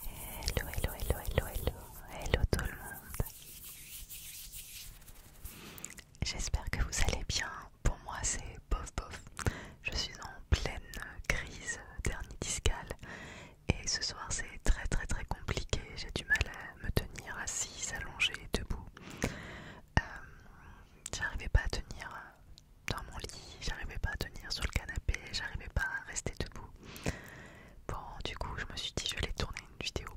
Hello, hello, hello, hello, hello, hello tout le monde. J'espère que vous allez bien. Pour moi, c'est bof bof. Je suis en pleine crise dernier et ce soir, c'est très très très compliqué. J'ai du mal à me tenir assise, allongée, debout. Euh, j'arrivais pas à tenir dans mon lit, j'arrivais pas à tenir sur le canapé, j'arrivais pas à rester debout. Bon, du coup, je me suis dit, je vais tourner une vidéo.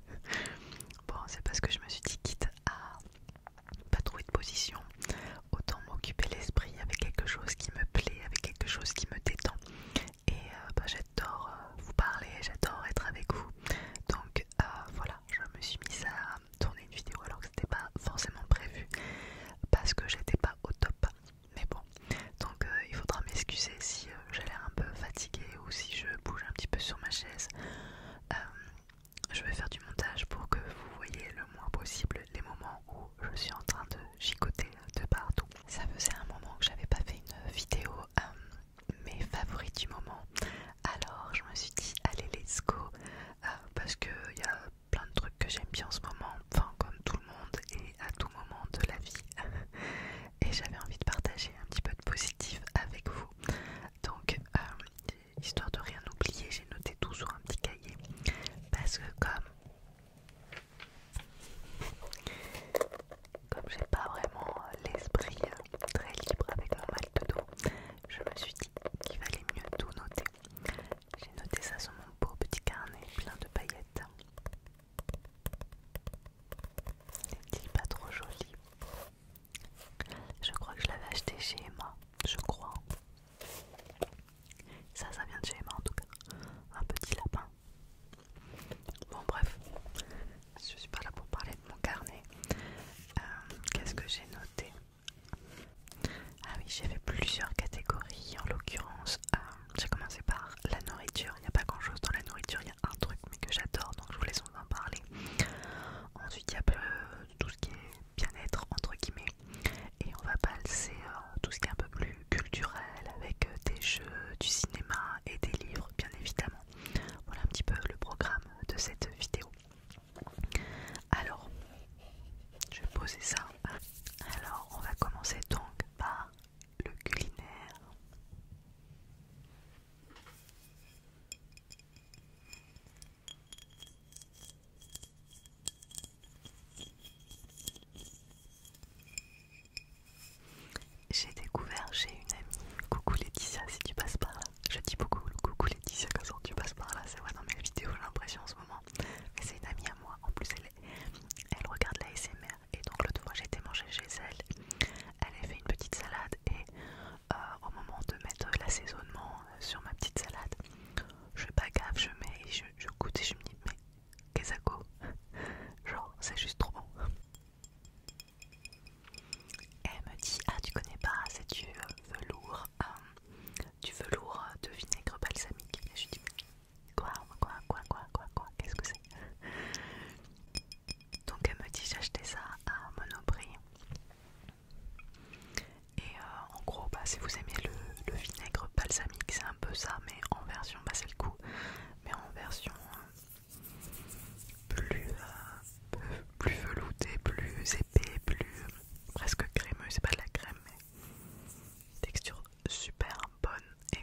bon, c'est parce que je me suis dit, quitte à pas trouver de position, autant m'occuper l'esprit avec quelque chose qui me plaît, avec quelque chose qui me détend. Et euh, bah, j'adore euh, vous parler, j'adore être avec vous. Donc euh, voilà, je me suis mise à tourner une vidéo alors que c'était pas forcément prévu parce que j'étais pas au top. Mais bon, donc euh, il faudra m'excuser si euh, j'ai l'air un peu fatiguée ou si je bouge un petit peu sur ma chaise. Euh, je vais faire du montage pour que vous voyez le moins possible les moments où je suis en train de chicoter de partout. Ça faisait un moment que j'avais pas fait une vidéo, mes favoris du moment. Alors je me suis dit, allez, let's go, euh, parce qu'il y a plein de trucs que j'aime bien en ce moment, enfin comme tout le monde et à tout moment de la vie. et j'avais envie de partager un petit peu de positif avec vous. Donc, euh, histoire de rien oublier, j'ai noté tout sur un petit cahier. Parce que comme... Comme j'ai pas vraiment l'esprit très libre avec mon mal de dos, je me suis dit qu'il valait mieux tout noter. J'ai noté ça sur mon beau petit carnet plein de paillettes. N'est-il pas trop joli Je crois que je l'avais acheté chez Emma, je crois. Ça, ça vient de chez Emma en tout cas. Un petit lapin. Bon bref, je suis pas là pour parler de mon carnet. Euh, qu'est-ce que j'ai noté ah oui, j'avais plusieurs catégories. En l'occurrence, euh, j'ai commencé par la nourriture. Il n'y a pas grand chose dans la nourriture, il y a un truc mais que j'adore donc je vous laisse en parler. Ensuite, il y a euh, tout ce qui est bien-être, entre guillemets. Et on va passer euh, tout ce qui est un peu plus culturel avec des jeux, du cinéma et des livres, bien évidemment. Voilà un petit peu le programme de cette vidéo. Alors, je vais poser ça. Alors, on va commencer donc par le culinaire. J'ai découvert chez une amie, coucou Laetitia si tu passes par là, je dis beaucoup coucou Laetitia quand tu passes par là, c'est vrai dans mes vidéos j'ai l'impression en ce moment mais c'est une amie à moi, en plus elle, elle regarde la SMR. Et donc l'autre fois j'ai été chez elle, elle avait fait une petite salade et euh, au moment de mettre l'assaisonnement euh, sur ma petite salade, je gaffe, je mets, je, je goûte et je me dis mais qu'est-ce que Genre c'est juste trop bon. Elle me dit ah tu connais pas, c'est du euh, velours. Hum, du velours euh, de vinaigre balsamique. Et je dis quoi, quoi, quoi, quoi, quoi, quoi, qu'est-ce que c'est Donc elle me dit j'ai acheté ça à Monoprix. Et euh, en gros, bah, si vous aimez le, vinaigre balsamique, c'est un peu ça, mais en version, bah, c'est le coup, mais en version euh, plus, plus veloutée, plus épais, plus presque crémeux. C'est pas de la crème, Texture super bonne et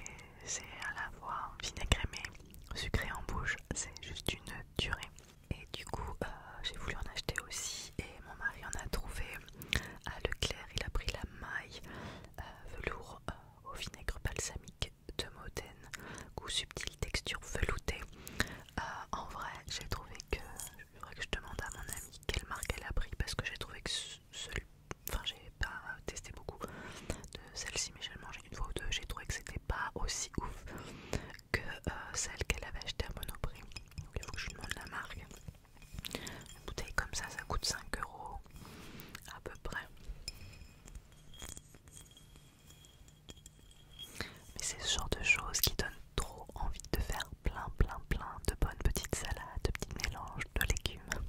c'est à la voir vinaigre mais sucré en bouche, c'est juste une durée. Et du coup, euh, j'ai voulu en acheter aussi et mon mari en a trouvé à Leclerc. Il a pris la maille euh, velours euh, au vinaigre balsamique de Modène, goût subtil, texture veloutée. en vrai, j'ai trouvé que, que je demande à mon ami quelle marque elle a pris parce que j'ai trouvé que enfin j'ai pas testé beaucoup de celle-ci mais j'ai mangé une fois ou deux, j'ai trouvé que c'était pas aussi ouf que euh, celle qu'elle avait achetée à Monoprix. Donc il faut que je lui demande la marque. Une bouteille comme ça, ça coûte 5 euros à peu près. Mais c'est ce genre de choses qui donne trop envie de faire plein plein plein de bonnes petites salades, de petits mélanges de légumes.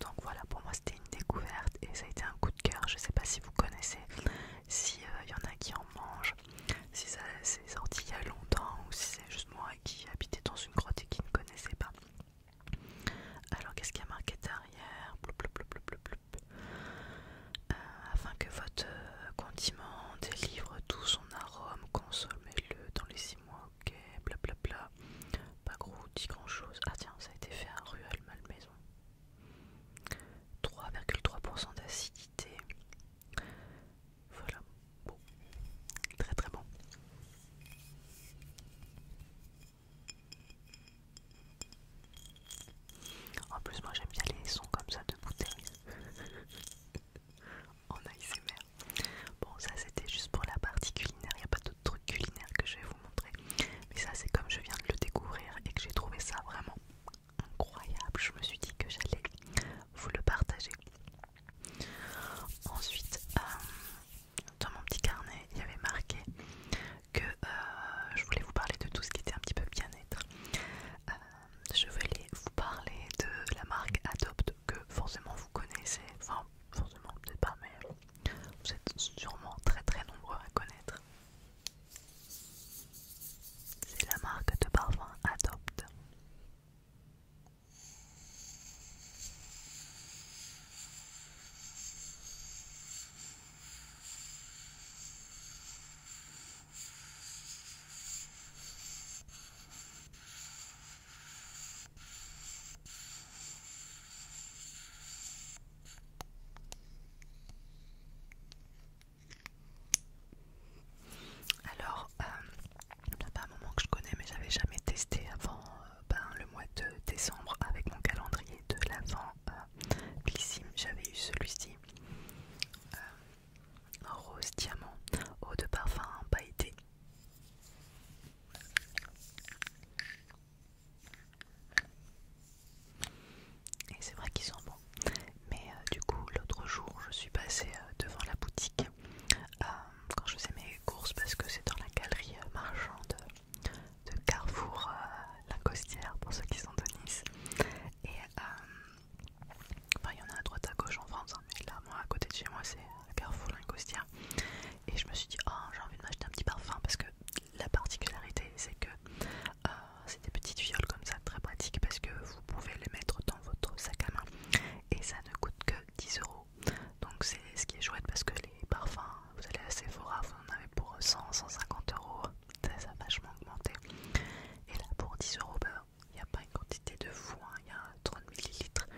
Donc voilà, pour moi c'était une découverte et ça a été un coup de cœur. Je sais pas si vous connaissez, s'il euh, y en a qui en mangent, si ça s'est sorti il y a longtemps ou si c'est juste moi qui habitais dans une grotte et qui ne connaissait pas. Alors qu'est-ce qu'il y a marqué derrière euh, afin que votre euh, condiment délivre tout son arôme, consommez-le dans les 6 mois, ok, blablabla. Pas gros, dit grand chose. Ah tiens, ça a été fait à Ruelle Malmaison. 3,3% d'acidité. Voilà, bon, très très bon. En plus, moi j'aime bien les sons comme ça de bouteilles en ASMR. Bon, ça c'était juste pour la partie culinaire. Il n'y a pas d'autres trucs culinaires que je vais vous montrer. Mais ça, c'est comme je viens de le découvrir et que j'ai trouvé ça vraiment incroyable. Je me suis dit que j'allais vous le partager. Ensuite, euh, dans mon petit carnet, il y avait marqué que euh, je voulais vous parler de tout ce qui était un petit peu bien-être. Euh, je vais vous parler de la marque Adopt que forcément vous connaissez, enfin forcément peut-être pas, mais vous êtes sûrement très très nombreux à connaître. C'est la marque de parfum Adopt. Alors, n'y a pas un moment que je connais, mais j'avais jamais testé avant euh, ben, le mois de décembre avec mon calendrier de l'avant euh, J'avais eu celui-ci. Euh, rose diamant, eau de parfum pailleté. Et c'est vrai qu'ils sont bons. Mais euh, du coup, l'autre jour, je suis passée euh, devant la boutique euh, quand je faisais mes courses parce que c'est dans la galerie marchande de Carrefour la Costière pour ceux qui sont de Nice. Et Enfin, il y en a à droite à gauche en France, hein, mais là, moi, à côté de chez moi, c'est Carrefour Linkostia Et je me suis dit, oh, j'ai envie de m'acheter un petit parfum parce que la particularité, c'est que euh, c'est des petites fioles comme ça, très pratiques parce que vous pouvez les mettre dans votre sac à main et ça ne coûte que 10 euros. Donc, c'est ce qui est chouette parce que les parfums, vous allez à Sephora, vous en avez pour 100, 150 euros, ça, a vachement augmenté. Et là, pour 10 euros, ben, il n'y a pas une quantité de fou, hein. il y a 30 ml.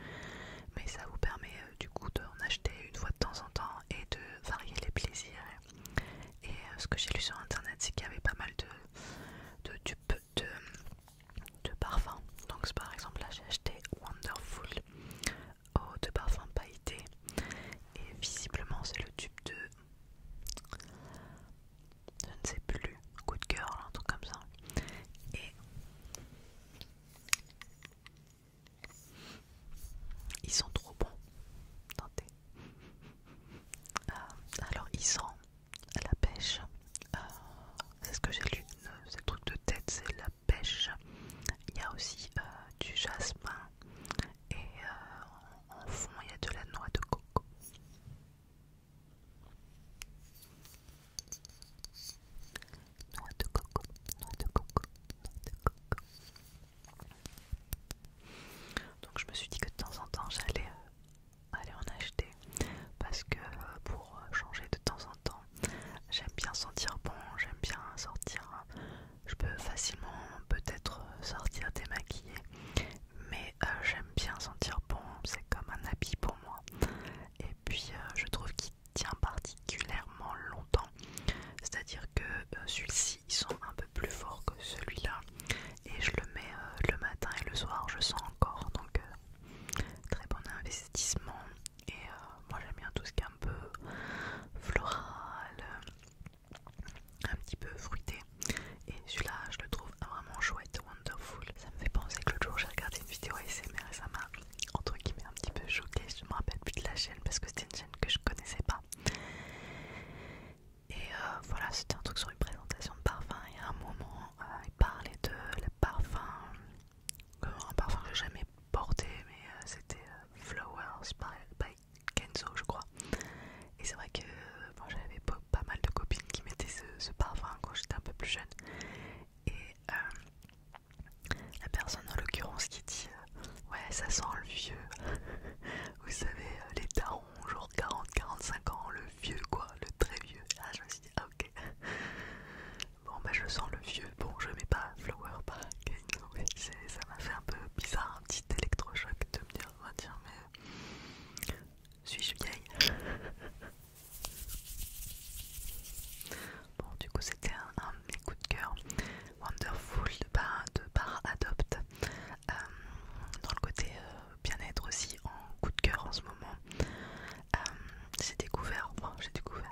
Mais ça vous permet euh, du coup d'en acheter une fois de temps en temps et de varier les plaisirs. Et euh, ce que j'ai lu sur internet, c'est qu'il y avait pas mal de, de de, de parfums. Donc par exemple là j'ai acheté Wonderful oh, de parfum pailleté. Et visiblement c'est le tube de je ne sais plus, coup de cœur, un truc comme ça. Et ils sont trop bons. Tentez. Euh, alors, ils sont la pêche. Euh, c'est ce que j'ai lu. Euh, ce truc de tête, c'est la pêche. Il y a aussi du jasmin. Et en fond, il y a de la noix de coco. Donc je me suis dit que de temps en temps j'allais euh, aller en acheter parce que euh, pour euh, changer de temps en temps, j'aime bien sentir bon, j'aime bien sortir. Je peux facilement peut-être sortir démaquillée mais euh, j'aime bien sentir bon, c'est comme un habit pour moi. Et puis euh, je trouve qu'il tient particulièrement longtemps, c'est-à-dire que euh, celui-ci, ils sont un peu plus forts que celui-là, et je le mets le matin et le soir, je sens encore, donc très bon investissement. Et moi j'aime bien tout ce qui est un peu floral, un petit peu fruité. Et celui-là, je le trouve vraiment chouette, wonderful. Ça me fait penser que l'autre jour, j'ai regardé une vidéo ASMR et ça m'a, entre m'est un petit peu choquée. Je me rappelle plus de la chaîne parce que c'était une chaîne que je connaissais pas. Et euh, voilà, c'était un truc sur une présentation de parfum. Et à un moment, euh, il parlait de le parfum, euh, un parfum que j'ai jamais porté, mais c'était Flowers by Kenzo, je crois. Et c'est vrai que moi j'avais pas pas mal de copines qui mettaient ce, parfum quand j'étais un peu plus jeune. Et euh, la personne en l'occurrence qui dit euh, Ouais, ça sent le vieux. Vous savez, euh, les darons, genre 40-45 ans, le vieux quoi, le très vieux. Ah, je me suis dit Ah, ok. Bon, bah, je sens le vieux. Bon, je mets pas Flower par Ça m'a fait un peu bizarre, un petit électrochoc de me dire va oh, dire mais suis-je vieille Bon, du coup, c'était un, coup de de cœur. Wonderful de par, Adopt. Euh, dans le côté euh, bien-être aussi, en coup de cœur en ce moment. Euh, j'ai découvert, bon, oh, j'ai découvert,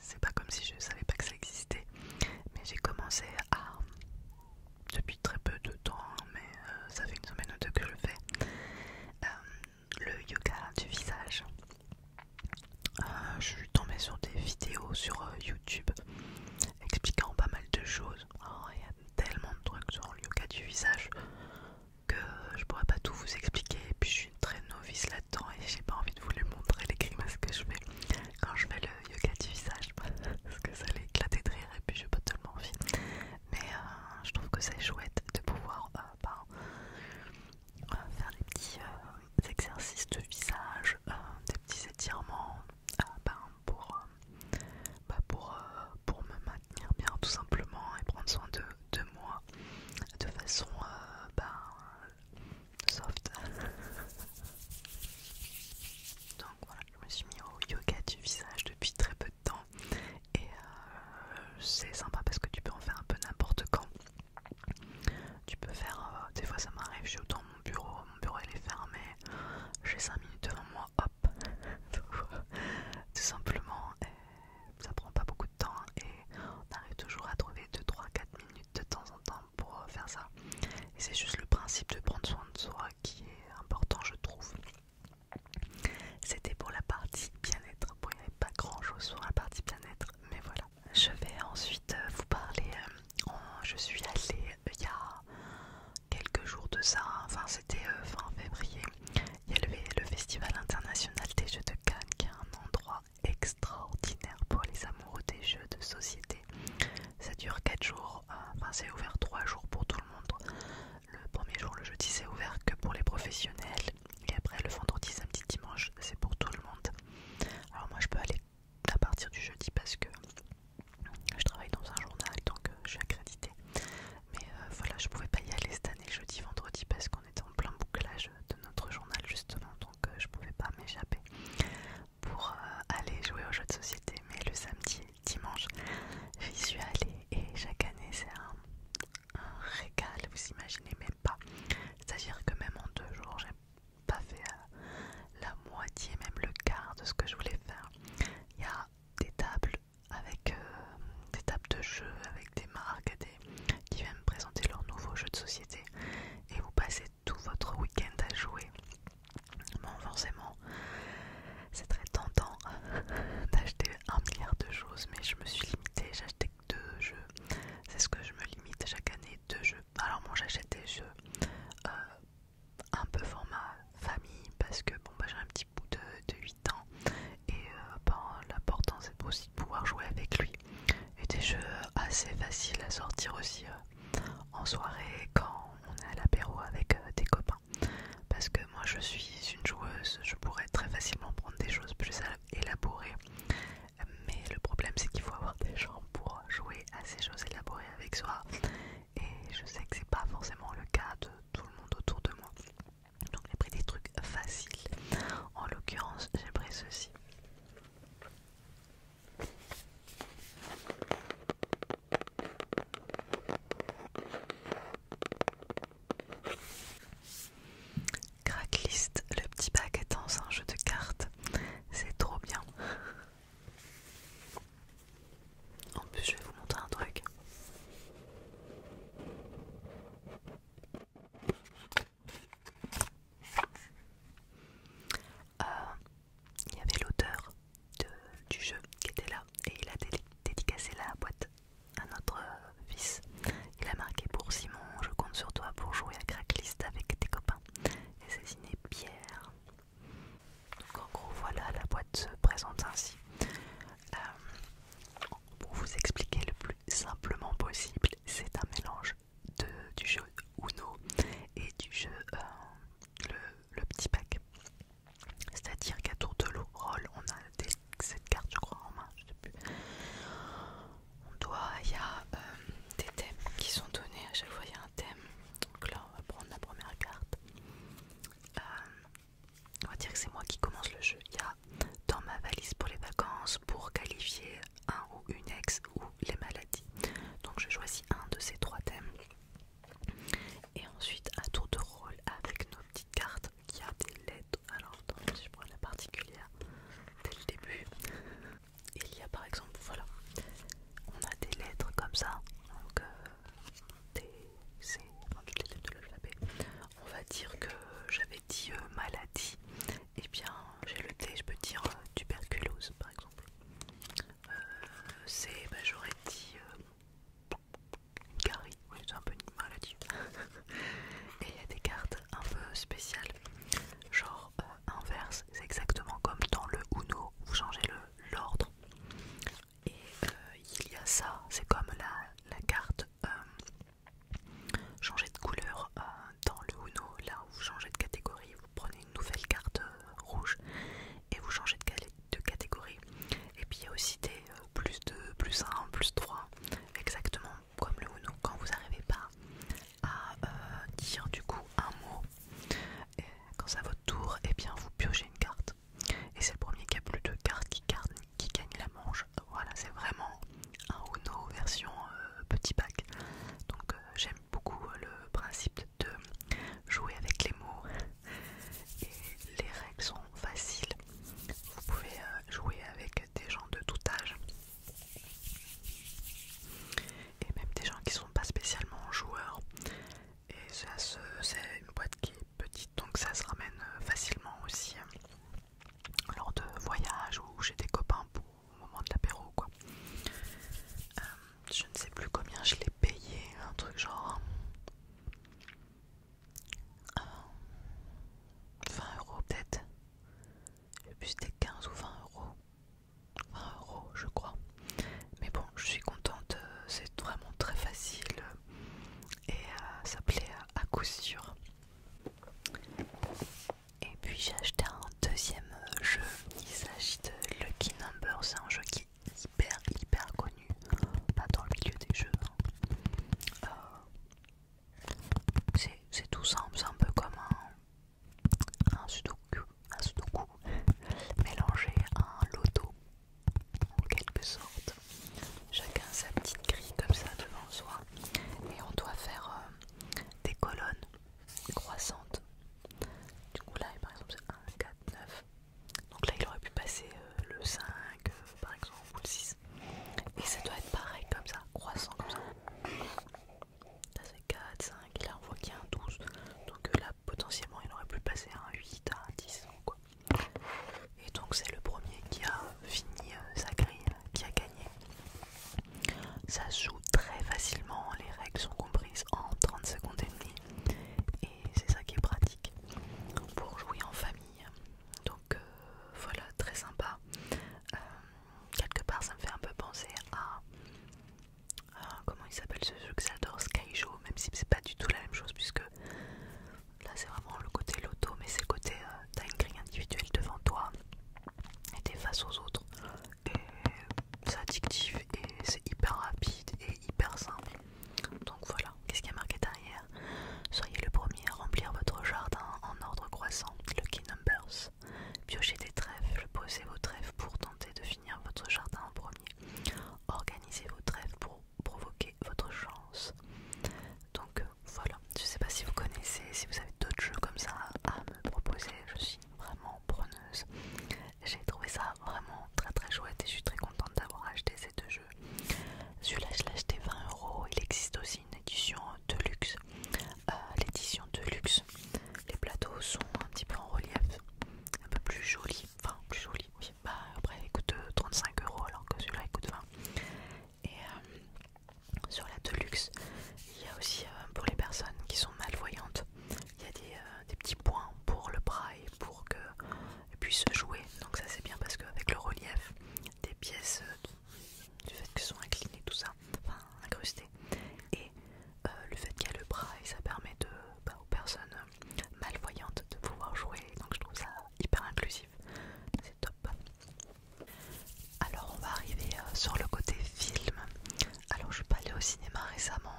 c'est pas comme si je savais pas que ça existait, mais j'ai commencé à depuis très peu de temps, mais euh, ça fait une semaine ou deux que je le fais, euh, le yoga du visage. Euh, je suis tombée sur des vidéos sur YouTube expliquant pas mal de choses. Oh, il y a tellement de trucs sur le yoga du visage que je pourrais pas tout vous expliquer. Et puis je suis une très novice là-dedans et j'ai pas envie de vous lui montrer les grimaces que je fais quand je fais le yoga du visage parce que ça allait éclater de rire et puis j'ai pas tellement envie mais euh, je trouve que c'est chouette de pouvoir euh, ben, euh, faire des petits exercices de visage, des petits étirements ben, ben, pour, me maintenir bien tout simplement et prendre soin de, moi de façon soft. Donc voilà, je me suis mis au yoga du visage depuis très peu de temps et euh, c'est sympa parce que tu peux en faire un peu n'importe quand. Tu peux faire, euh, des fois ça m'arrive, j'ai autant mon bureau, mon bureau il est fermé, j'ai 5 minutes devant moi, hop, tout simplement, ça prend pas beaucoup de temps hein. et on arrive toujours à trouver 2-3-4 minutes de temps en temps pour euh, faire ça. Et c'est juste le principe de prendre soin de soi qui est important je trouve. C'était pour la partie bien-être. Bon, il n'y avait pas grand-chose sur la partie bien-être, mais voilà. Je vais ensuite euh, vous parler. Euh, je suis allée euh, il y a quelques jours de ça, enfin c'était fin février. Il y a le, Festival international des jeux de Cannes qui est un endroit extraordinaire pour les amoureux des jeux de société. Ça dure 4 jours, enfin c'est ouvert 3 jours pour tout le monde. Le premier jour, le jeudi, c'est ouvert que pour les professionnels. Et après, le vendredi, samedi, dimanche, c'est pour tout le monde. Alors moi, je peux aller à partir du jeudi parce que je travaille dans un journal, donc euh, je suis accréditée. Mais euh, voilà, je pouvais pas y aller cette année, jeudi, vendredi, parce qu'on était en plein bouclage de notre journal, justement. Donc euh, je pouvais pas m'échapper pour aller jouer aux jeux de société. Mais le samedi dimanche, j'y suis allée et chaque année c'est un, régal, vous imaginez même pas. C'est-à-dire que même en deux jours, j'ai pas fait euh, la moitié, même le quart de ce que je voulais faire. Il y a des tables avec euh, des tables de jeux, avec des marques des, qui viennent présenter leurs nouveaux jeux de société et vous passez tout votre week-end à jouer. Bon, forcément, c'est très tentant d'acheter un milliard de choses, mais je me suis limitée, j'ai que deux jeux. C'est ce que je me limite chaque année, deux jeux. Alors moi j'achète des jeux euh, un peu format famille parce que bon bah, j'ai un petit bout de, 8 ans et euh, bah, l'important c'est aussi de pouvoir jouer avec lui. Et des jeux assez faciles à sortir aussi euh, en soirée quand on est à l'apéro avec des copains. Parce que moi je suis une joueuse, je pourrais très facilement prendre des choses plus élaborées. Mais le problème c'est qu'il faut avoir des gens pour jouer à ces choses élaborées avec soi. Et je sais que c'est pas forcément le cas de tout le monde autour de moi. Donc j'ai pris des trucs faciles. En l'occurrence j'ai pris ceci. Cracklist, le petit bac étant un jeu de cartes, c'est trop bien. En plus, je vais vous montrer un truc. Euh, il y avait l'auteur du jeu qui était là et il a dédicacé la boîte à notre euh, fils. Il a marqué pour Simon, je compte sur toi pour jouer à Cracklist avec tes copains. Et c'est signé Pierre. Donc en gros voilà, la boîte se présente ainsi. Euh, pour vous expliquer le plus simplement possible, c'est un mélange du jeu Uno et du jeu euh, le petit pack. C'est-à-dire qu'à tour de rôle, on a cette carte, je crois, en main, je sais plus. On doit, il y a euh, des thèmes qui sont donnés, à chaque fois il y a un thème. Donc là, on va prendre la première carte. Euh, on va dire que c'est moi qui commence le jeu. Il y a dans ma valise pour les vacances, pour qualifier un ou une ex ou les maladies. Donc je choisis un de ces trois thèmes. Et ensuite, à tour de rôle, avec nos petites cartes, il y a des lettres. Alors attendez, si je prends la particulière dès le début, il y a par exemple, voilà, on a des lettres comme ça, donc T, euh, C, de On va dire que j'avais dit euh, maladie, et eh bien j'ai le T, je peux dire euh, tuberculose par exemple. C, bah, j'aurais dit. Carrie, oui, un peu une dessus Et il y a des cartes un peu spéciales, genre euh, inverse, c'est exactement comme dans le Uno, vous changez l'ordre. Et euh, il y a ça, c'est comme la, la carte euh, changer de couleur dans le Uno, là où vous changez de catégorie, vous prenez une nouvelle carte rouge et vous changez de, de catégorie. Et puis il y a aussi des, plus 2, plus 1, plus 3, exactement comme le Uno, quand vous n'arrivez pas à euh, dire du coup un mot, quand c'est à votre tour, et eh bien vous piochez une carte. Et c'est le premier qui a plus de cartes qui, gagne la manche. Voilà, c'est vraiment un Uno version euh, petit pack. Donc euh, j'aime beaucoup le principe de jouer avec les mots et les règles sont faciles. Vous pouvez euh, jouer avec des gens de tout âge et même des gens qui sont pas spécialement joueurs. Et c'est une boîte qui est petite donc ça se ramène euh, facilement aussi hein, lors de voyages ou chez des copains pour, au moment de l'apéro quoi. Euh, je ne sais plus combien je l'ai payé, un truc genre hein. 20 euh, euros peut-être. Le plus c'était 15 ou 20 euros. 20 euros je crois. Mais bon, je suis contente, euh, c'est vraiment très facile et euh, ça plaît à coup sûr. Et puis j'ai acheté un deuxième jeu, il s'agit de Lucky Number, c'est un jeu qui est hyper hyper connu pas dans le milieu des jeux. Hein. Euh, c'est tout simple, c'est un peu comme un, un sudoku, un sudoku mélangé un loto en quelque sorte. Chacun sa petite grille comme ça devant soi et on doit faire euh, des colonnes croissantes. Du coup là par exemple c'est 1, 4, 9, donc là, il aurait pu passer euh, le 5 euh, par exemple ou le 6. Et ça doit être pareil comme ça, croissant comme ça. Là c'est 4, 5, et là on voit qu'il y a un 12. Donc euh, là potentiellement il aurait pu passer un 8, à un 10 quoi. Et donc c'est le premier qui a fini sa grille, qui a gagné. Ça se joue très facilement, les règles sont comprises en 30 secondes et demie. Et c'est ça qui est pratique. Pour jouer en famille, donc euh, voilà très sympa euh, quelque part ça me fait un peu penser à, comment il s'appelle ce jeu que j'adore Skyjo, même si c'est pas du tout la même chose puisque là c'est vraiment le côté loto mais c'est le côté euh, t'as une grille individuelle devant toi et t'es face aux autres et c'est addictif et c'est hyper rapide et hyper simple donc voilà, qu'est-ce qu'il y a marqué derrière Soyez le premier à remplir votre jardin en ordre croissant, le key numbers. Piochez des trèfles, posez vos trèfles pour tenter de finir votre jardin en premier. Organisez vos trèfles pour provoquer votre chance. Donc euh, voilà, je ne sais pas si vous connaissez, si vous avez d'autres jeux comme ça à me proposer, je suis vraiment preneuse. J'ai trouvé ça vraiment très très chouette et je suis très contente d'avoir acheté ces deux jeux. Celui-là, je l'ai acheté 20 euros. Il existe aussi une édition de luxe. Euh, l'édition de luxe, les plateaux sont un petit peu en relief, un peu plus jolis. Enfin, plus jolis, oui. Bah, après, il coûte 35 euros alors que celui-là, il coûte 20. Et euh, sur la Deluxe, il y a aussi euh, pour les personnes qui sont malvoyantes, il y a des, petits points pour le bras et pour qu'elles puissent jouer. Donc, ça c'est bien parce qu'avec le relief, des pièces euh, du fait qu'elles sont inclinées, tout ça, enfin incrustées. Et euh, le fait qu'il y a le bras et ça permet bah, aux personnes euh, malvoyantes de pouvoir jouer. Donc je trouve ça hyper inclusif. C'est top. Alors on va arriver sur le côté film. Alors je suis pas allée au cinéma récemment.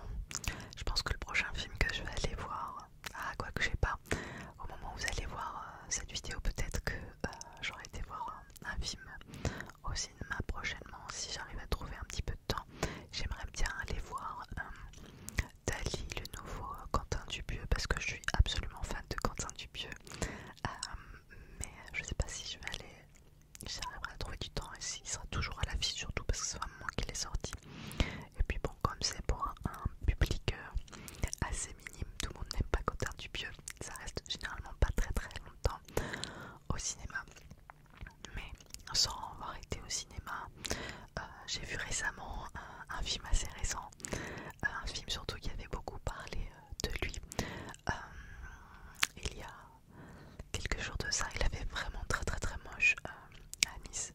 Je pense que le prochain film que je vais aller voir, ah, quoi que je sais pas. Au moment où vous allez voir euh, cette vidéo, peut-être que euh, j'aurai été voir un, film au cinéma prochainement. Si j'arrive à trouver un petit peu de temps, j'aimerais bien aller voir euh, Dali, le nouveau Quentin Dupieux, parce que je suis absolument fan de Quentin Dubieux mais je ne sais pas si je vais aller. J'arriverai à trouver du temps et s'il sera toujours à la vie surtout parce que c'est un moment qu'il est sorti. Et puis bon, comme c'est pour un public euh, assez minime, tout le monde n'aime pas Cotard du Pieux, ça reste généralement pas très très longtemps au cinéma. Mais sans avoir été au cinéma, euh, j'ai vu récemment un, film assez récent, euh, un film surtout qui avait beaucoup parlé de lui. il y a quelques jours de ça, il avait vraiment très très très moche à Nice.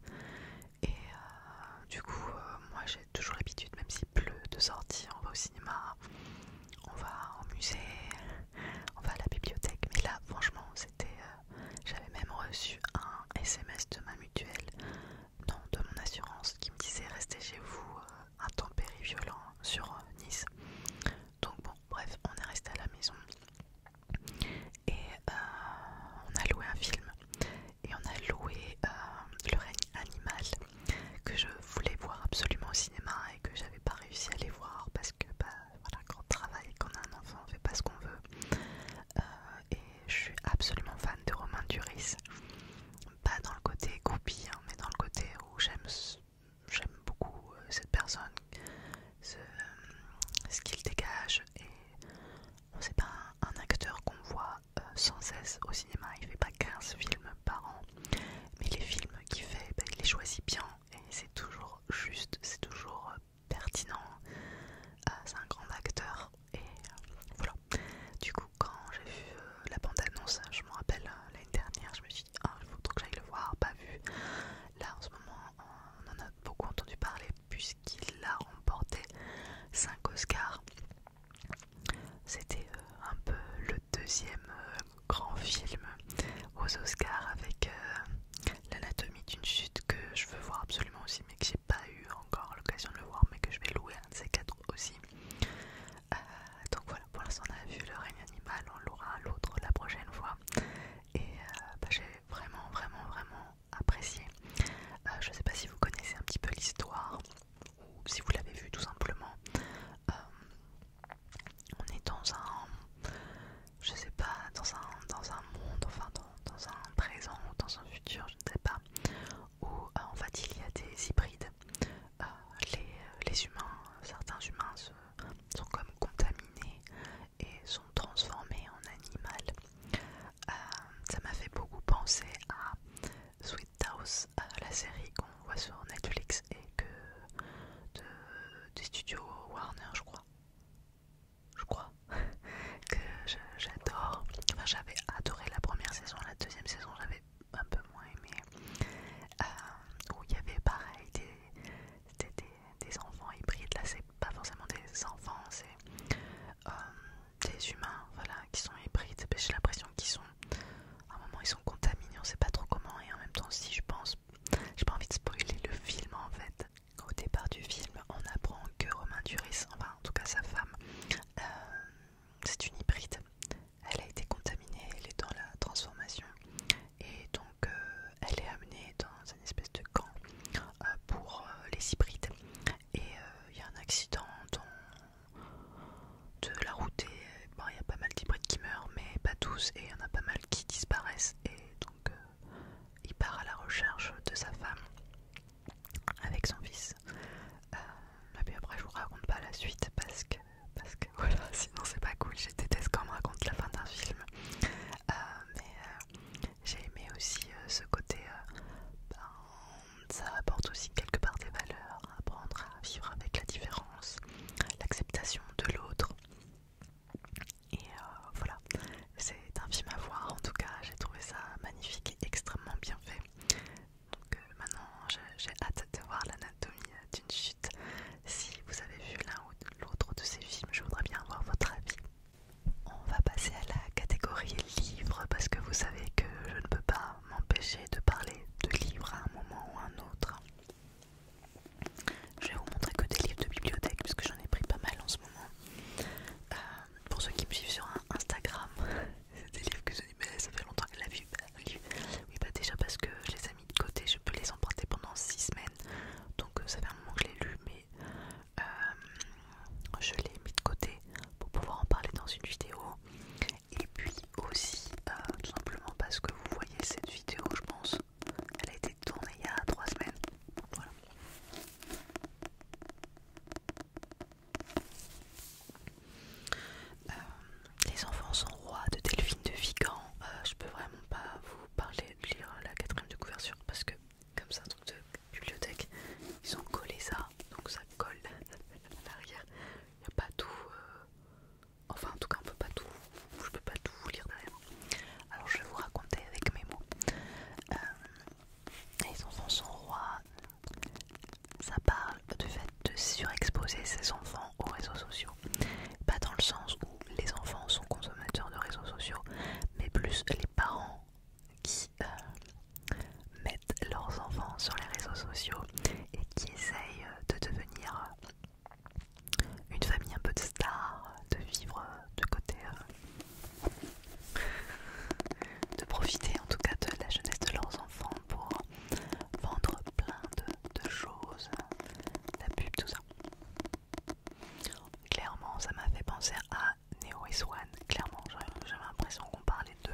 Et euh, du coup, euh, moi j'ai toujours l'habitude, même s'il pleut, de sortir. On va au cinéma, on va au musée, on va à la bibliothèque. Mais là, franchement, c'était. Euh, j'avais même reçu un SMS de ma mutuelle, non, de mon assurance, qui me disait restez chez vous, intempéries violent sur Nice. Donc bon, bref, on est resté à la maison et on a loué un film et on a loué euh, Le règne animal que je voulais voir absolument au cinéma et que j'avais pas réussi à aller voir parce que bah voilà quand on travaille quand on a un enfant on fait pas ce qu'on veut euh, et je suis absolument fan de Romain Duris pas dans le côté goupille hein, mais dans le côté où j'aime j'aime beaucoup euh, cette personne ce, qu'il dégage et c'est pas un acteur qu'on voit euh, sans cesse au cinéma. Il fait pas 15 films par an, mais les films qu'il fait, ben, il les choisit bien et c'est toujours juste, c'est toujours euh, pertinent. Euh, c'est un grand acteur et voilà. Du coup, quand j'ai vu la bande-annonce, je me rappelle l'année dernière, je me suis dit, ah, il faut que j'aille le voir, pas vu. Là, en ce moment, on en a beaucoup entendu parler puisqu'il a remporté 5 Oscars c'était euh, un peu le deuxième euh, grand film aux Oscars avec euh, l'anatomie d'une chute que je veux voir absolument aussi mais que j'ai pas eu encore l'occasion de le voir mais que je vais louer un de ces quatre aussi. donc voilà, pour l'instant on a vu le règne animal, on l'aura l'autre la prochaine fois. Et bah, j'ai vraiment vraiment vraiment apprécié. je sais pas si vous connaissez un petit peu l'histoire ou si vous l'avez vu tout simplement, euh, on est dans un, je sais pas, dans un, dans un monde, enfin dans, un présent ou dans un futur, je ne sais pas, où euh, en fait il y a des hybrides. Euh, les, humains, certains humains sont comme contaminés et sont transformés en animal. ça m'a fait beaucoup penser à Sweet House, euh, la série qu'on voit sur Netflix et que des studios Warner, je crois. Je crois que j'adore. Enfin, j'avais adoré la première saison, la deuxième saison, j'avais un peu moins aimé. Euh, où il y avait pareil des enfants hybrides. Là, c'est pas forcément des enfants, c'est euh, des humains voilà, qui sont hybrides, j'ai l'impression qu'ils sont, à un moment ils sont contaminés, on sait pas trop comment, et en même temps si je pense, j'ai pas envie de spoiler le film en fait. Au départ du film, on apprend que Romain Duris, enfin en tout cas sa femme, euh, c'est une hybride, elle a été contaminée, elle est dans la transformation, et donc euh, elle est amenée dans une espèce de camp pour les hybrides. Et il y a un accident dont de la route et euh, il y a pas mal d'hybrides qui meurent mais pas tous et il y en a pas mal qui disparaissent et donc euh, il part à la recherche de sa femme avec son fils euh, mais puis après je vous raconte pas la suite parce que parce que voilà sinon c'est pas cool j'ai déteste quand on raconte la fin d'un film mais j'ai aimé aussi ce côté ben, ça apporte aussi quelque part des valeurs, apprendre à vivre avec la différence, l'acceptation de l'autre. Et euh, voilà, c'est un film à voir en tout cas, j'ai trouvé ça magnifique et extrêmement bien fait. Donc euh, maintenant j'ai hâte de voir l'anatomie euh, d'une chute. Si vous avez vu l'un ou l'autre de ces films, je voudrais bien avoir votre avis. On va passer à la catégorie livre parce que vous savez que je ne peux pas m'empêcher de parler de livres à un moment ou à un autre. Je vais vous montrer que des livres de bibliothèque puisque j'en ai pris pas mal en ce moment. Euh, pour ceux qui me suivent sur Instagram, c'est des livres que je dis mais ça fait longtemps que la vie. Ah, oui bah déjà parce que je les ai mis de côté, je peux les emporter pendant 6 semaines. Donc euh, ça fait un moment que je l'ai lu mais euh, je l'ai mis de côté pour pouvoir en parler dans une vidéo. Et puis aussi, euh, tout simplement parce que vous voyez cette vidéo, je pense, elle a été tournée il y a 3 semaines. Euh, les enfants sont rois de Delphine de Vigan. Euh, je peux vraiment pas vous parler de lire la quatrième de couverture parce que, comme ça, un truc de bibliothèque, ils ont collé ça, donc ça colle à Il n'y a pas tout. Euh, enfin, en tout cas, on peut pas tout. Je peux pas tout vous lire derrière. Alors, je vais vous raconter avec mes mots. Euh, les enfants sont rois. Ça parle du fait de surexposer ses enfants aux réseaux sociaux. Pas dans le sens où les enfants sont consommateurs de réseaux sociaux, mais plus les parents qui euh, mettent leurs enfants sur les réseaux sociaux et qui essayent de devenir une famille un peu de star, de vivre de côté, euh, de profiter en tout cas de la jeunesse de leurs enfants pour vendre plein de, de choses, la pub, tout ça. Clairement, ça m'a fait penser à Neo et Swan, Clairement, j'avais l'impression qu'on parlait d'eux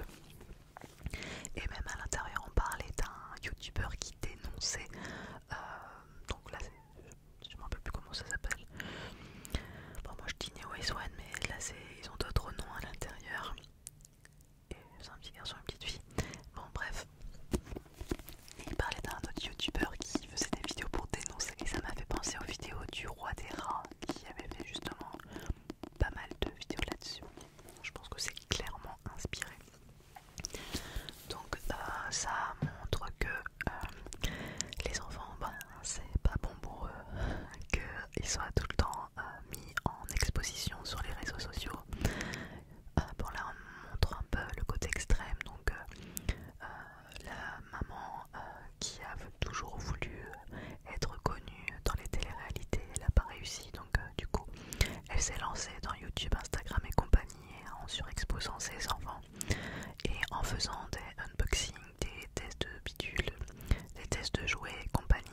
et même à l'intérieur, on parlait d'un youtubeur qui dénonçait. Euh, donc là, je ne me rappelle plus comment ça s'appelle. Bon, moi je dis Neo mais là, ils ont d'autres noms à l'intérieur. Et c'est un petit garçon, une petite fille. Bon, bref. Et il parlait d'un autre youtubeur qui faisait des vidéos pour dénoncer. Et ça m'a fait penser aux vidéos du roi des rats qui avait fait justement pas mal de vidéos là-dessus. Je pense que c'est clairement inspiré. Donc euh, ça montre que euh, les enfants, ben, c'est pas bon pour eux qu'ils soient tout le temps euh, mis en exposition sur les réseaux sociaux. Bon pour on montre un peu le côté extrême. Donc la maman qui a toujours voulu être connue dans les téléréalités. Elle n'a pas réussi, donc euh, du coup, elle s'est lancée dans YouTube, Instagram et compagnie en surexposant ses enfants et en faisant des unboxings, des tests de bidules, des tests de jouets et compagnie.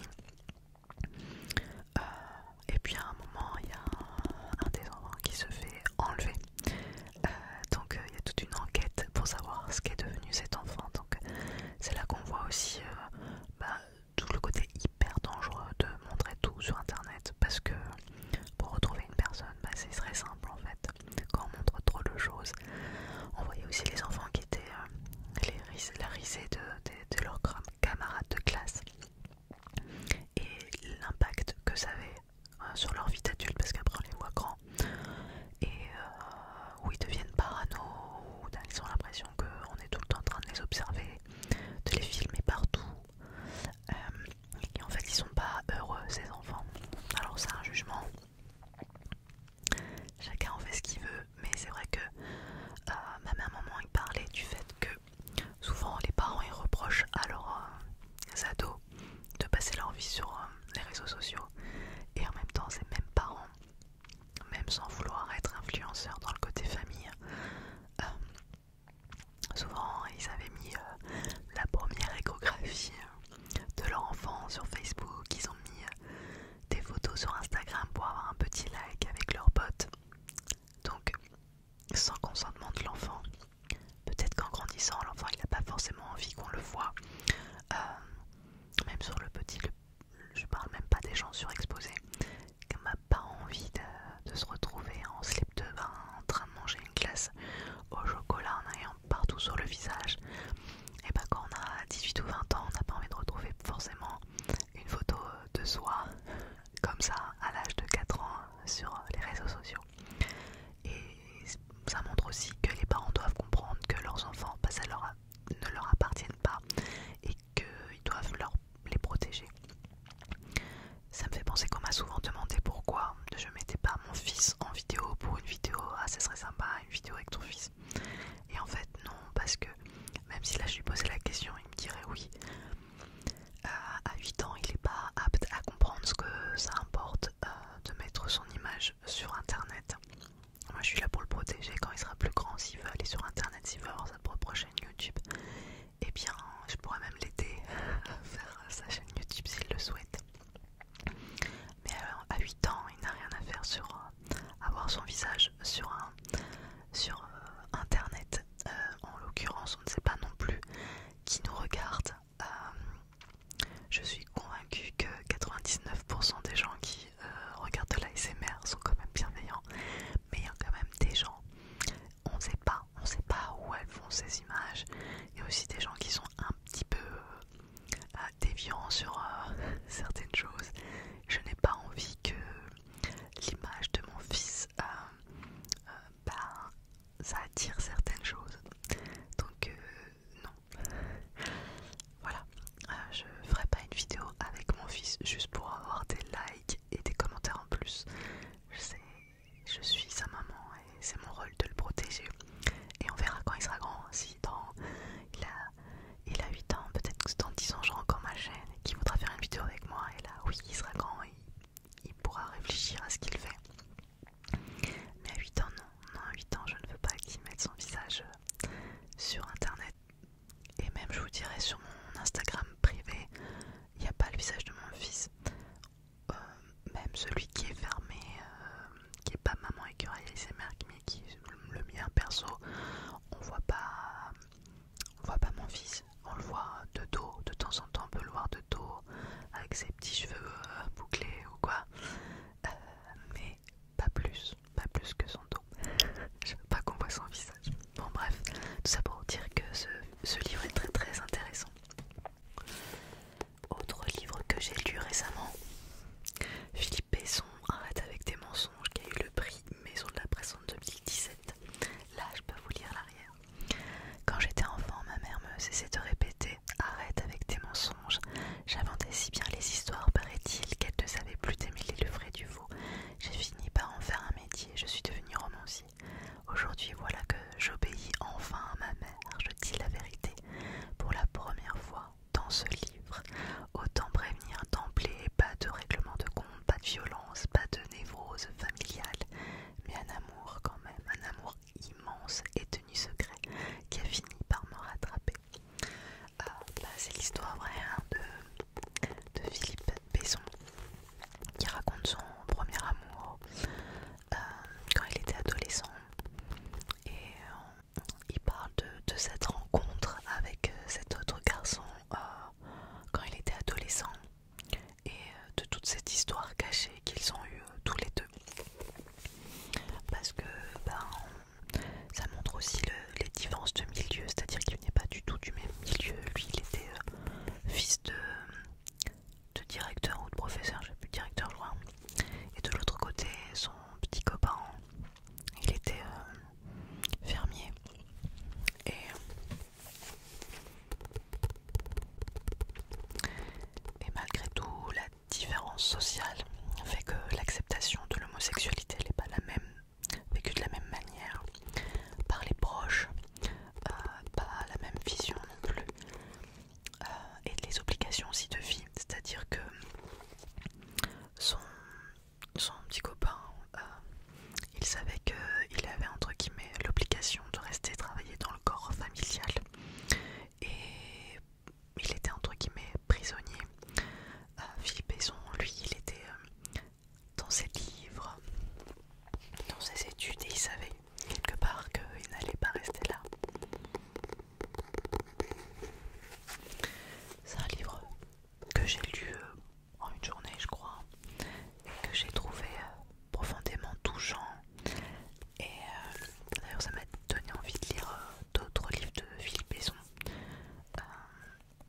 Euh, et puis à un moment, il y a un, des enfants qui se fait enlever. Euh, donc il y a toute une enquête pour savoir ce qu'est devenu cet enfant. Donc c'est là qu'on voit aussi bah, tout le côté hyper dangereux de montrer tout sur internet parce que pour retrouver une personne bah, c'est très simple en fait quand on montre trop de choses on voyait aussi les enfants qui étaient euh, les la risée de, leurs camarades de classe et l'impact que ça avait euh, sur leur vie d'adulte parce qu'après on les voit grands et euh, où ils deviennent parano, où ils ont l'impression qu'on est tout le temps en train de les observer, de les filmer partout. Euh, et en fait, ils sont pas heureux, ces enfants. Alors, c'est un jugement. Chacun en fait ce qu'il veut, mais c'est vrai que euh, ma mère, moment il parlait du fait que souvent les parents ils reprochent à leurs euh, ados de passer leur vie sur les réseaux sociaux et en même temps ces mêmes parents même sans vouloir être influenceur dans le côté famille. Euh, souvent, ils avaient mis euh, la première échographie euh, de leur enfant sur Facebook. Ils ont mis des photos sur Instagram pour avoir un petit like avec leurs potes. Donc, sans consentement de l'enfant. Peut-être qu'en grandissant, l'enfant il n'a pas forcément envie qu'on le voit. même sur le petit, je parle même pas des gens surexposés, qui n'a pas envie de, se retrouver en slip de bain en train de manger une glace au chocolat en ayant partout sur le visage. Et bah quand on a 18 ou 20 ans, on n'a pas envie de retrouver forcément une photo euh, de soi comme ça à l'âge de 4 ans sur les réseaux sociaux. Et ça montre aussi que les parents doivent comprendre que leurs enfants passent à leur ne leur appartiennent pas et qu'ils doivent leur, les protéger. Ça me fait penser qu'on m'a souvent demandé pourquoi je mettais pas mon fils en vidéo pour une vidéo, ah ce serait sympa, une vidéo avec ton fils. Et en fait non, parce que même si là je lui posais la question, il me dirait oui. Euh, à 8 ans, il n'est pas apte à comprendre ce que ça importe euh, de mettre son image sur internet. Moi je suis là pour le protéger quand il sera plus grand, s'il veut aller sur internet, s'il veut avoir sa propre chaîne YouTube, et eh bien je pourrais même l'aider à faire sa chaîne YouTube s'il le souhaite. Mais euh, à 8 ans, il n'a rien à faire sur avoir euh, son visage sur, un, sur euh, internet. en l'occurrence, on ne sait pas non plus qui nous regarde. je suis convaincue que 99% des gens qui euh, regarde là, et SMR sont quand même bienveillants, mais il y a quand même des gens, on ne sait pas, on sait pas où elles font ces images. Il y aussi des gens qui sont un petit peu euh, euh, déviants sur certaines choses. Je n'ai pas envie que l'image de mon fils, bah, ça attire certaines choses. Donc non. Voilà, euh, je ferai pas une vidéo avec mon fils juste pour avoir des likes et des commentaires en plus. Je sais, je suis sa maman et c'est mon rôle de le protéger. Et on verra quand il sera grand, si dans il a, 8 ans, peut-être que dans 10 ans j'aurai encore ma chaîne et qu'il voudra faire une vidéo avec moi. Et là, oui, il sera grand et il, il pourra réfléchir à ce qu'il fait. Mais à 8 ans, non, non, à 8 ans, je ne veux pas qu'il mette son visage euh, sur internet et même, je vous dirais, sur mon Instagram privé, il n'y a pas le visage de mon fils. Euh, même celui qui est fermé, euh, qui est pas maman écureuil ASMR, mais qui est le mien perso, on voit pas, on voit pas mon fils. On le voit de dos, de temps en temps, on peut le voir de dos, avec ses petits cheveux euh, bouclés ou quoi. mais pas plus, pas plus que son dos. Je veux pas qu'on voit son visage. Bon bref, tout ça pour dire que ce, livre est très très intéressant. Autre livre que j'ai lu récemment, Philippe Besson, Arrête avec tes mensonges, qui a eu le prix Maison de la Presse en 2017. Là, je peux vous lire l'arrière. Quand j'étais enfant, ma mère me cessait de répéter Arrête avec tes mensonges. J'inventais si bien les histoires, paraît-il, qu'elle ne savait plus démêler le vrai du faux j'ai fini par en faire un métier, je suis devenue romancier. Aujourd'hui, voilà que j'obéis enfin à ma mère, je dis la vérité, pour la première fois dans ce livre. Autant prévenir d'emblée, pas de règlement de compte, pas de violence, pas de névrose familiale, mais un amour quand même, un amour immense et tenu secret qui a fini par me rattraper. Euh, bah, c'est l'histoire vraie hein, de, Philippe Besson qui raconte son premier amour euh, quand il était adolescent et euh, il parle de, cette rencontre avec cet autre garçon quand il était adolescent et de toute cette histoire cachée qu'ils ont eue tous les deux parce que ben, ça montre aussi les différences de milieu, c'est-à-dire qu'il n'est pas du tout du même milieu. Lui, il était euh, fils de, directeur ou de professeur, je sais plus, directeur, loin. Et de l'autre côté, son petit copain, il était euh, fermier. Et, et malgré tout, la différence sociale fait que l'acceptation de l'homosexualité n'est pas la même vécu de la même manière par les proches, euh, pas la même vision non plus, euh, et les obligations aussi de vie, c'est-à-dire que son, petit copain, euh, il savait qu'il avait entre guillemets l'obligation de rester travailler dans le corps familial et il était entre guillemets prisonnier Philippe Besson, lui, il était euh, dans ses livres, dans ses études, et il savait quelque part qu'il n'allait pas rester là. C'est un livre que j'ai lu euh, en une journée, je crois, et que j'ai trouvé euh, profondément touchant. Et d'ailleurs, ça m'a donné envie de lire d'autres livres de Philippe Besson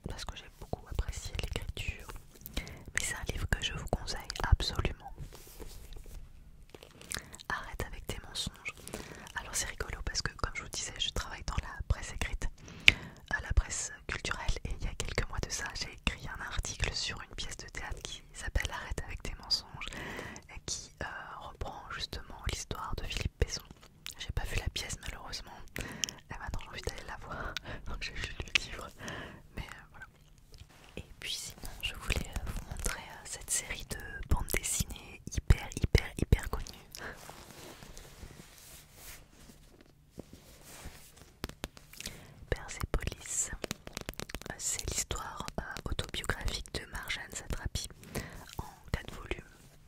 parce que j'ai beaucoup apprécié l'écriture. Mais c'est un livre que je vous conseille absolument. Arrête avec tes mensonges. Alors c'est rigolo parce que comme je vous disais, je travaille dans la presse écrite, à euh, la presse culturelle, et il y a quelques mois de ça, j'ai écrit un article sur une pièce de théâtre qui s'appelle Arrête avec tes mensonges, et qui euh, reprend justement l'histoire de Philippe Besson. J'ai pas vu la pièce malheureusement. Et maintenant j'ai envie d'aller la voir. Donc j'ai vu le livre. Mais euh, voilà. Et puis sinon je voulais euh, vous montrer euh, cette série de bandes dessinées hyper hyper hyper connue. Persepolis. C'est l'histoire autobiographique de Marjane Satrapi en 4 volumes.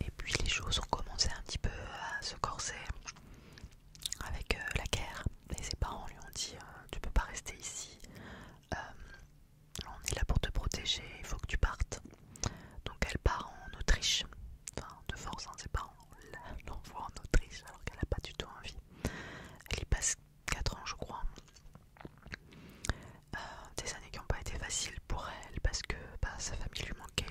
Et puis les choses ont commencé un petit peu à se corser avec euh, la guerre. Et ses parents lui ont dit euh, Tu peux pas rester ici, euh, on est là pour te protéger, il faut que tu partes. Donc elle part en Autriche, enfin de force, hein, ses parents l'envoient en Autriche alors qu'elle n'a pas du tout envie. Elle y passe 4 ans, je crois. des années qui n'ont pas été faciles pour elle parce que bah, sa famille lui manquait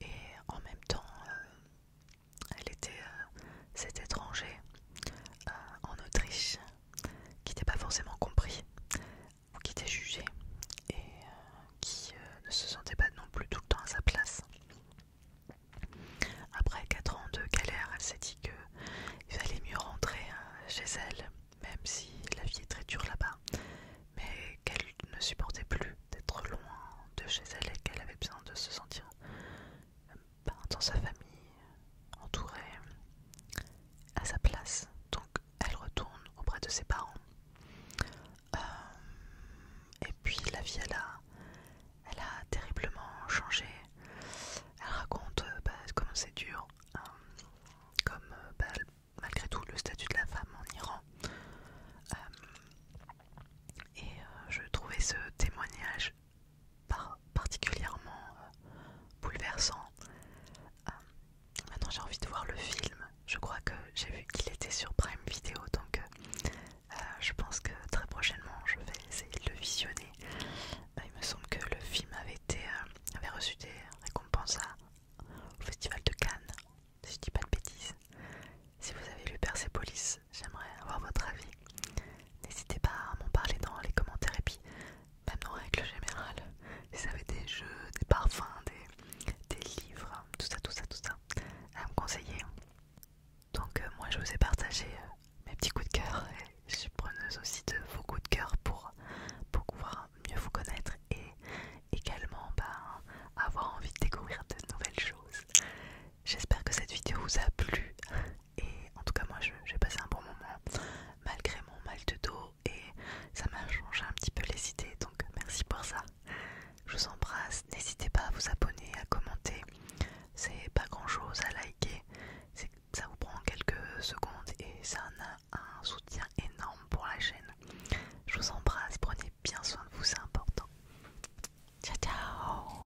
et en même temps euh, elle était euh, cet étranger euh, en Autriche qui n'était pas forcément compris ou qui était jugée et qui ne se sentait pas non plus tout le temps à sa place. Après quatre ans de galère, elle s'est dit qu'il fallait mieux rentrer chez elle, même si la vie est très dure là-bas, mais qu'elle ne supportait plus d'être loin de chez elle et qu'elle avait besoin de se sentir euh, ben, dans sa famille, entourée, à sa place. Donc elle retourne auprès de ses parents. Euh, et puis la vie, elle a, elle a terriblement changé. Elle raconte euh, bah, comment c'est dur, hein, comme bah, malgré tout le statut de la femme en Iran. Euh, et euh, je trouvais ce témoignage particulièrement euh, bouleversant. maintenant j'ai envie de voir le film. Je crois que j'ai vu qu'il était sur Prime Video, donc je pense que très prochainement je vais essayer de le visionner. il me semble que le film avait, reçu des récompenses au festival de Cannes, si je dis pas de bêtises. Si vous avez lu Persepolis, j'aimerais avoir votre avis. N'hésitez pas à m'en parler dans les commentaires et puis même en règle générale, si vous avez des jeux, des parfums, des, livres, tout ça, tout ça, tout ça, à me conseiller. Donc euh, moi je vous ai partagé euh, mes petits coups de cœur et je suis preneuse aussi de vos coups de cœur pour pouvoir mieux vous connaître et également ben, avoir envie de découvrir de nouvelles choses. J'espère que cette vidéo vous a plu et en tout cas moi j'ai passé un bon moment malgré mon mal de dos et ça m'a changé un petit peu les idées donc merci pour ça. Je vous embrasse, n'hésitez pas à vous abonner, à commenter, c'est pas grand chose à liker, ça vous prend quelques secondes et ça en a un soutien énorme pour la chaîne. Je vous embrasse, prenez bien soin de vous, c'est important. Ciao ciao